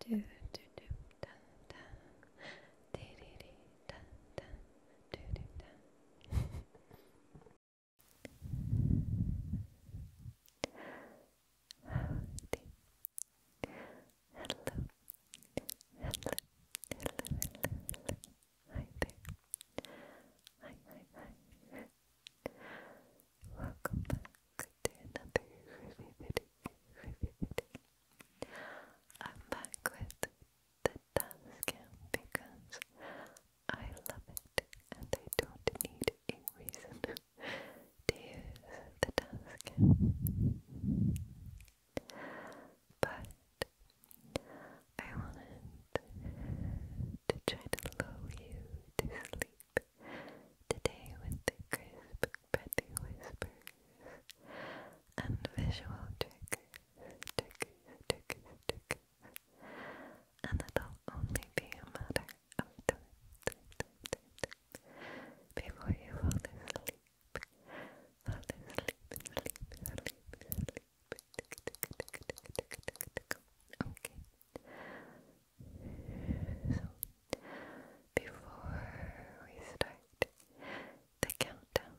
do do do da da de de de da da do do da Howdy. Hello. Hello. Hello. Hello. Hello. Hi there. Hi hi hi. Welcome I'm back with the dashcam because I love it and I don't need a reason to use the dashcam. But I wanted to try to lull you to sleep Today, with the crisp, breathy and visual triggers, triggers, triggers, triggers, and it'll only be a matter of time, time, time, time, time before you fall asleep. Fall asleep, sleep, sleep, sleep. Tick, tick, tick, tick, tick, tick, tick, tick. Okay. So, before we start the countdown,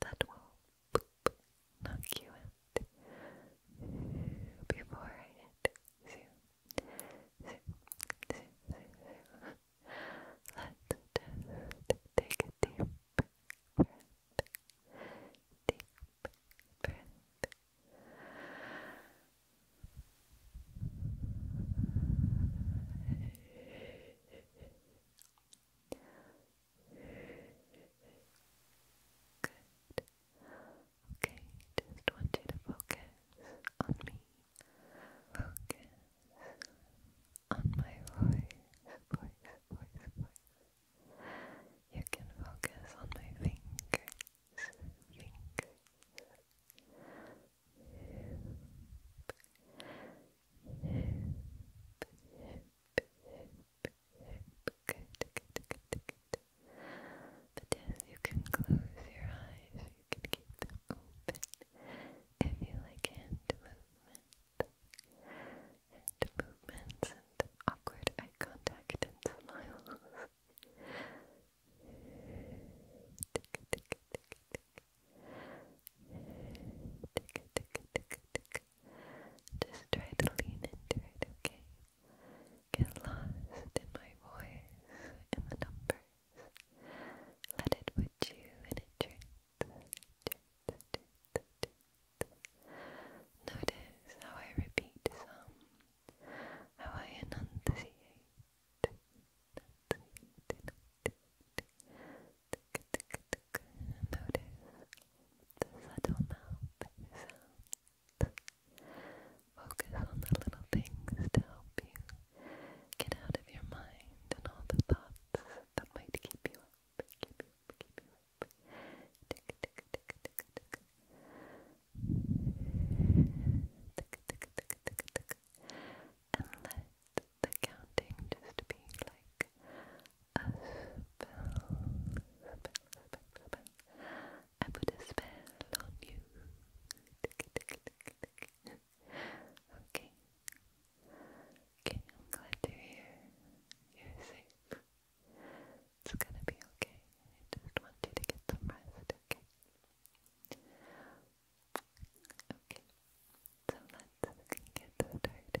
that will knock you out before zero, zero, zero. Let's take a deep breath deep Good. Okay, just want you to focus on me. Focus on my voice, voice, voice, voice. You can focus on my fingers, fingers. But yes, you can close your eyes, you can keep them open if you like hand movement and movements and awkward eye contact and smiles. tick, tick, tick, tick. Tick, tick, tick, tick. Just try to lean into it, okay? Get lost in my voice, in the numbers. Let it put you in a trance. Notice how I repeat how I enunciate. Notice the subtle mouth sounds. Focus on the little things to help you get out of your mind and all the thoughts that might keep you up. And let the counting just be like a spell. Spell, spell, spell. I put a spell on you. Okay. Okay, I'm glad to hear you're safe. It's gonna be okay. I just want you to get some rest, okay? Okay, so let's get started.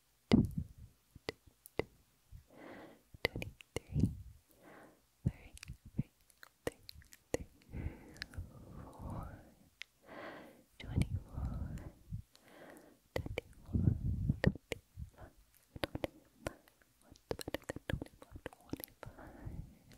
23 Three, three, three, three, four, twenty-four, twenty-four, twenty-five, twenty-five.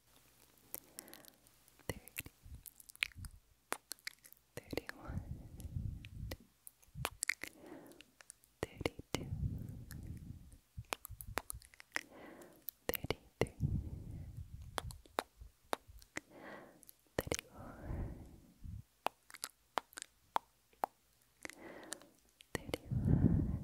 thirty, thirty-one, thirty-two, thirty-three, thirty-four, thirty-five. 36 37 38 39 40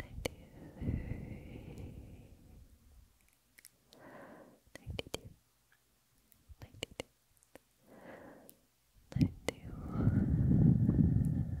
ninety-three, ninety-two, ninety-two, ninety-one, ninety, ninety. Eighty-nine, eighty-nine,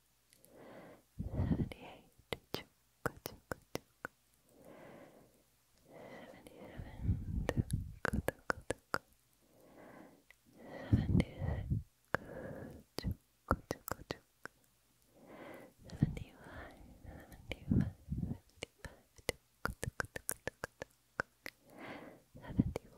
78 chukka chukka chukka 77 tukka tukka tukka 76 chukka chukka chukka 75 75 75 tukka tukka tukka tukka 74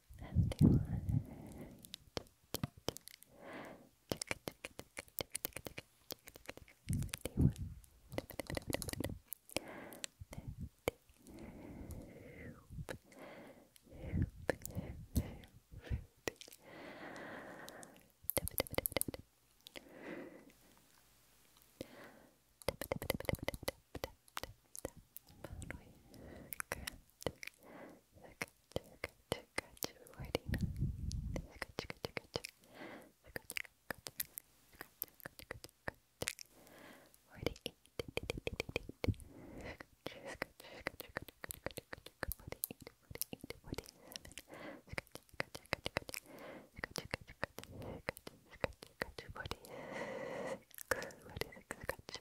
and you Forty six, forty six,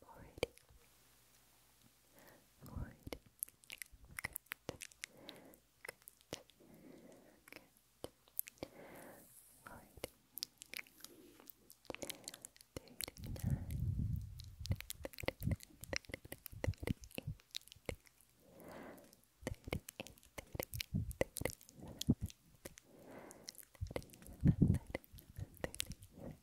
forehead, forehead. Good, good, good. Forehead. Thirty-nine, thirty-nine, thirty-eight, thirty-eight, thirty-eight, thirty-seven, thirty-seven, thirty-seven, thirty-seven.